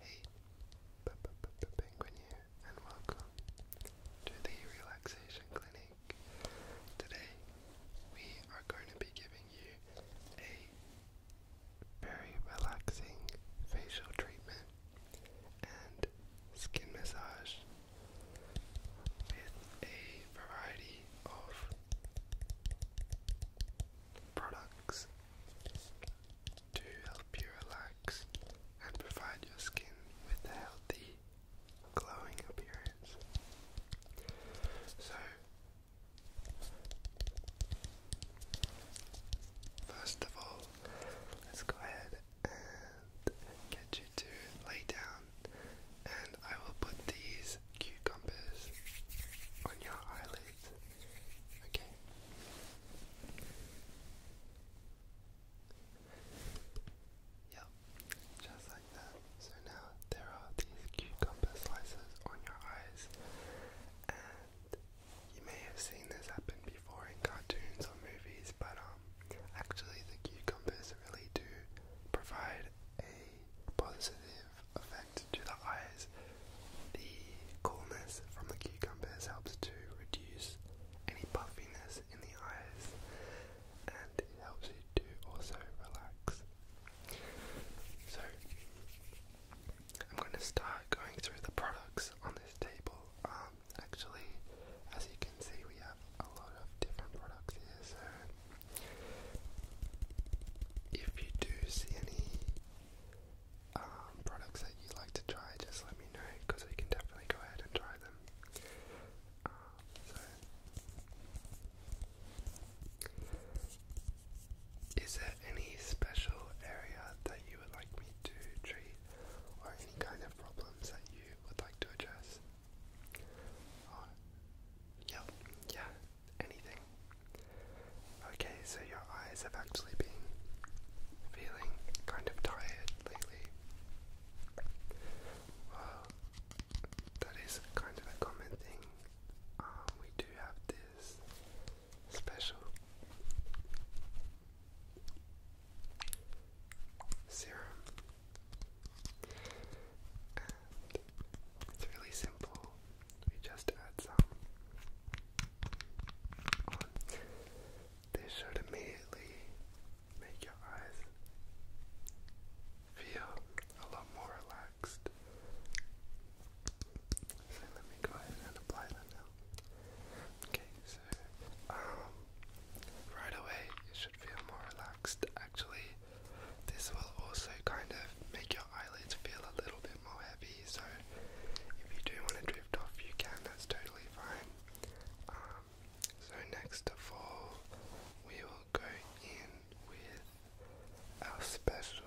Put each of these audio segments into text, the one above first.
Hey, p Penguin here, and welcome to the Relaxation Clinic. Today, we are going to be giving you a very relaxing facial treatment and skin massage with a variety of products to help you relax and provide your skin with a healthy, glowing appearance. So, first of all, let's go ahead and get you to lay down, and I will put these cucumbers on your eyelids. Okay. Yep, just like that. So now there are these cucumber slices on your eyes, and you may have seen this happen before in cartoons or movies, but um, actually the cucumbers really do provide a positive effect to the eyes. The coolness from the cucumbers helps to reduce any puffiness in the eyes and it helps you to also relax. So, I'm going to start going through the products on this table. Um, actually, as you can see, we have a lot of different products here. So, if you do see any um, products that you'd like to try, just let me know because we can definitely go ahead and try them. Um, so, is there any special area that you would like me to treat, or any kind of problems that you would like to address? yep, uh, yeah, anything. Okay, so your eyes have actually been feeling kind of tired lately. Well, that is kind of a common thing. Um, we do have this special serum, it's really simple we just add some This should immediately make your eyes feel a lot more relaxed. So let me go ahead and apply that now. Okay, so um right away it should feel more relaxed. Actually, this will also kind of make your eyelids feel a little bit so if you do want to drift off, you can, that's totally fine. Um, so, next to fall, we will go in with our special.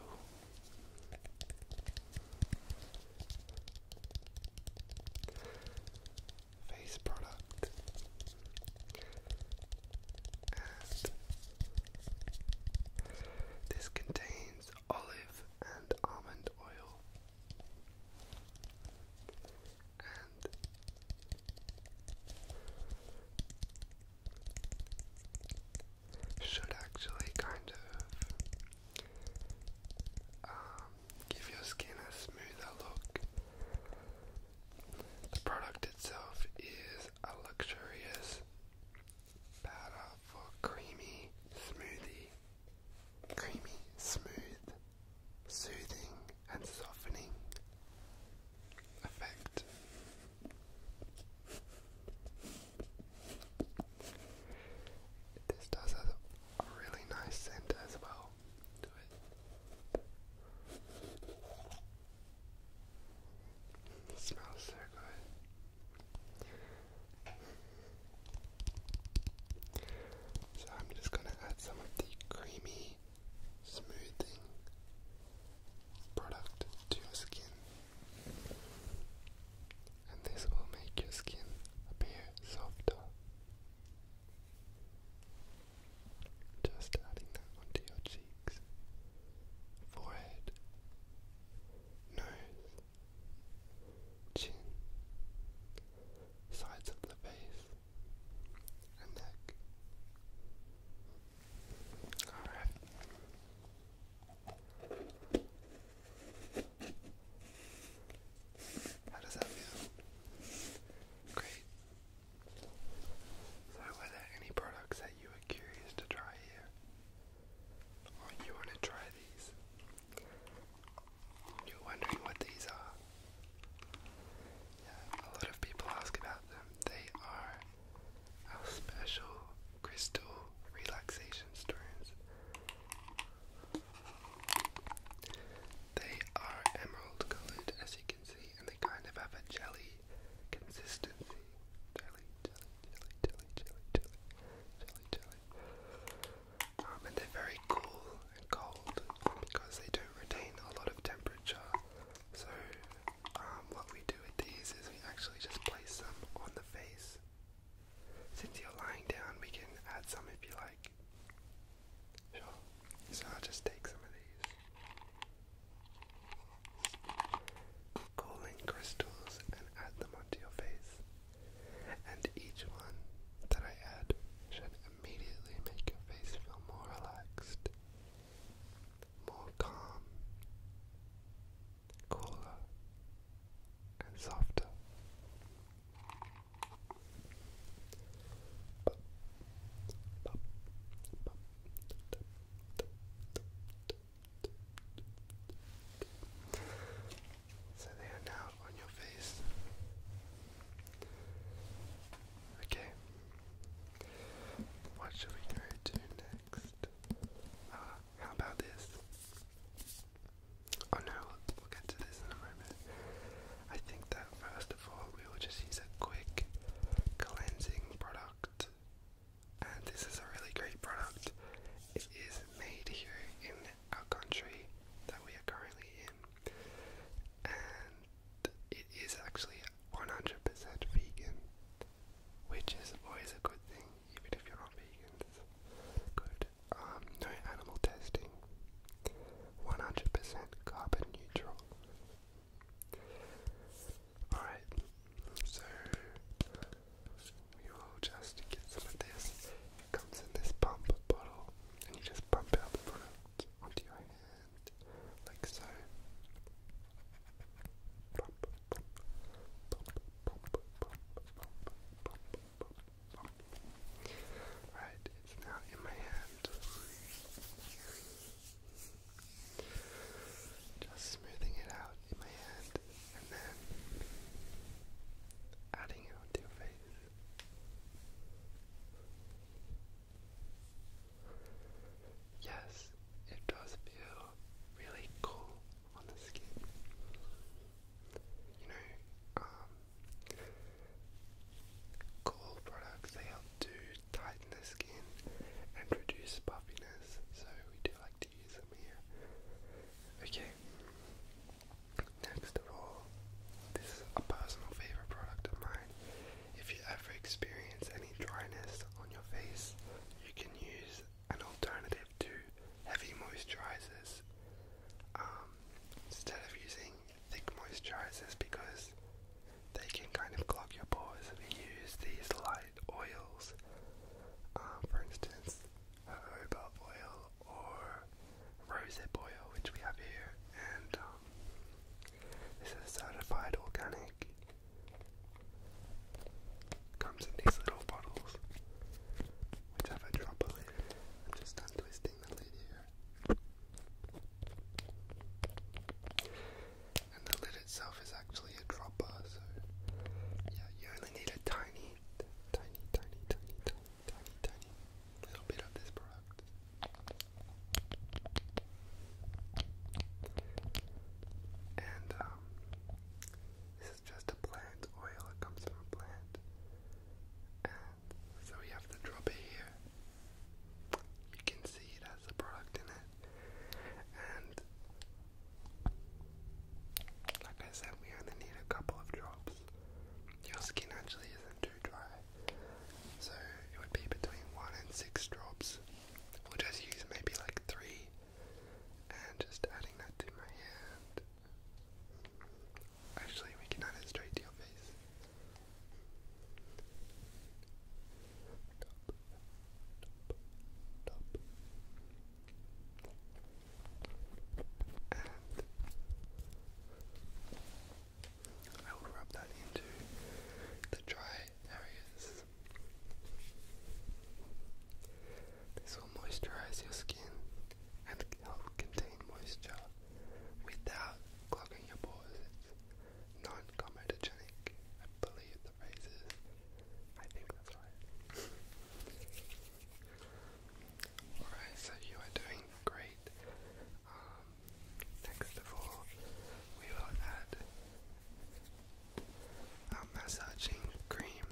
Face product, this contains olive and almond oil and should actually kind of um, give your skin a smoother look. The product itself is a luxurious powder for creamy smoothie. Creamy, smooth, soothing, and softening effect. This does a really nice scent as well to it. It smells so good. So I'm just going to add some of the creamy smoothing product to your skin. And this will make your skin appear softer. Just adding that onto your cheeks, forehead, nose, chin, sides of the face, and neck. Alright. How does that feel? Great. So were there any products that you were curious to try here? Oh, you want to try these? You're wondering what these are? Yeah, a lot of people ask about them. They are our special crystal relaxation stones. They are emerald colored, as you can see, and they kind of have a jelly consistency. Jelly, jelly, jelly, jelly, jelly, jelly, jelly. Um, and they're very cool and cold because they do retain a lot of temperature. So um, what we do with these is we actually just place them on the face. Since you're lying down, we can add some if you like. Sure. So I'll just take some of these. Cooling crystals and add them onto your face. And each one that I add should immediately make your face feel more relaxed, more calm, cooler, and softer. So they are now on your face. Okay. What should we go next? Uh, how about this? Oh no, we'll get to this in a moment. I think that first of all, we will just use a quick cleansing product and this is a really great product. It is made here in our country that we are currently in, and it is actually 100% vegan, which is always a good thing, even if you're not vegan. good. Um, no animal testing. 100% carbon neutral. Alright, so we will just get some of this. It comes in this pump bottle, and you just pump out the product onto your hand, like so. Pump, it's now in my hand. Just smoothing it out in my hand and then adding it onto your face. Yes, it does feel really cool on the skin. You know, um, cool products, they help to tighten the skin and reduce puffiness, so we do like to use here. Okay. Next of all, this is a personal favorite product of mine. If you ever experience any dryness on your face, you can use an alternative to heavy moisturizers um, instead of using thick moisturizers because they can kind of clog your pores use these light oils. Um, for instance, jojoba uh, oil or rosehip oil, which we have here, and um, this is certified organic. Comes in these little bottles, which have a drop I'm just untwisting the lid here and the lid itself is actually a dropper, so yeah, you only need a tiny, tiny, tiny, tiny, tiny, tiny, tiny little bit of this product. And um, this is just a plant oil, it comes from a plant. And so we have the dropper here. You can see it has the product in it. And like I said, we only need a couple of drops. Your skin actually isn't too dry, so it would be between one and six drops. We'll just use maybe like three, and just adding that to my hand. Actually, we can add it straight to your face top, top. I will rub that into the dry areas. This will moisturize your skin and help contain moisture without clogging your pores. non comedogenic, I believe the phrase is. I Alright, so you are doing great. Um, next of all, we will add our massaging cream.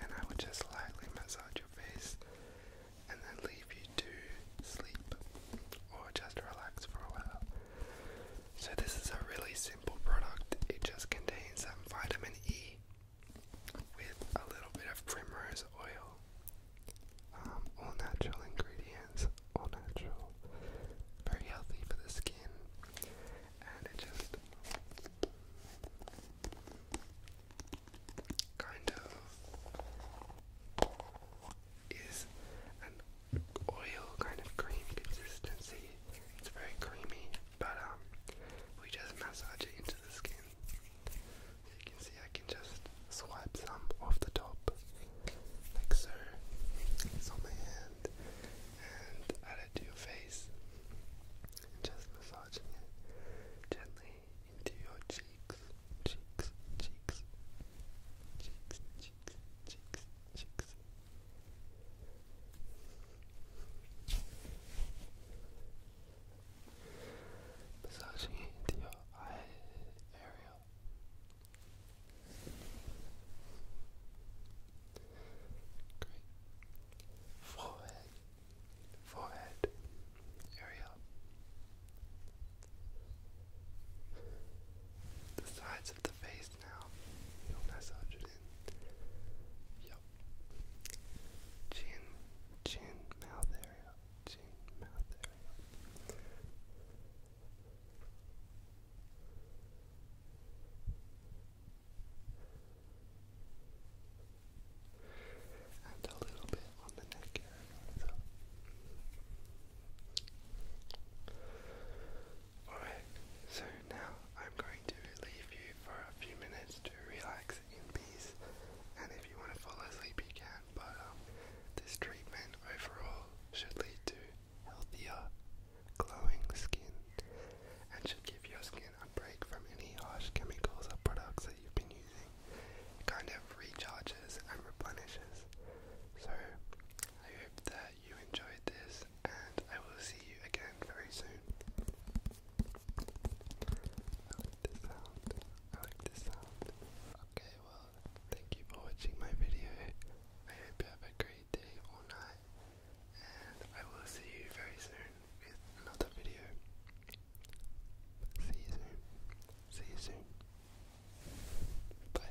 And I will just lightly massage your face and then leave you to sleep or just relax for a while. So this is a really simple product. It just contains some vitamin E with a little bit of primrose oil. Um, all natural ingredients, all natural, very healthy for the skin, and it just kind of is an oil kind of cream consistency. It's very creamy, but um, we just massage it into the skin. You can see I can just swipe some off the top, like so. It's on my hand, and add it to your face. just massaging it gently into your cheeks, cheeks, cheeks, cheeks, cheeks, cheeks, cheeks. Massaging your eye area. Great. Forehead. Forehead area. The sides of the face paste now. You'll massage it in. Yup. Chin, chin, mouth area. Chin, mouth area. And a little bit on the neck area. So. Alright, so now I'm going to leave you for a few minutes to relax in peace. And if you want to fall asleep, you can. But um, this treatment overall should lead to healthier, glowing skin and should give your skin a break from any harsh chemicals or products that you've been using. It kind of recharges and replenishes. So I hope that you enjoyed this, and I will see you again very soon. I like this sound. I like this sound. Okay, well, thank you for watching my video. I hope you have a great day or night, and I will see you very soon with another video. See you soon. See you soon. Bye.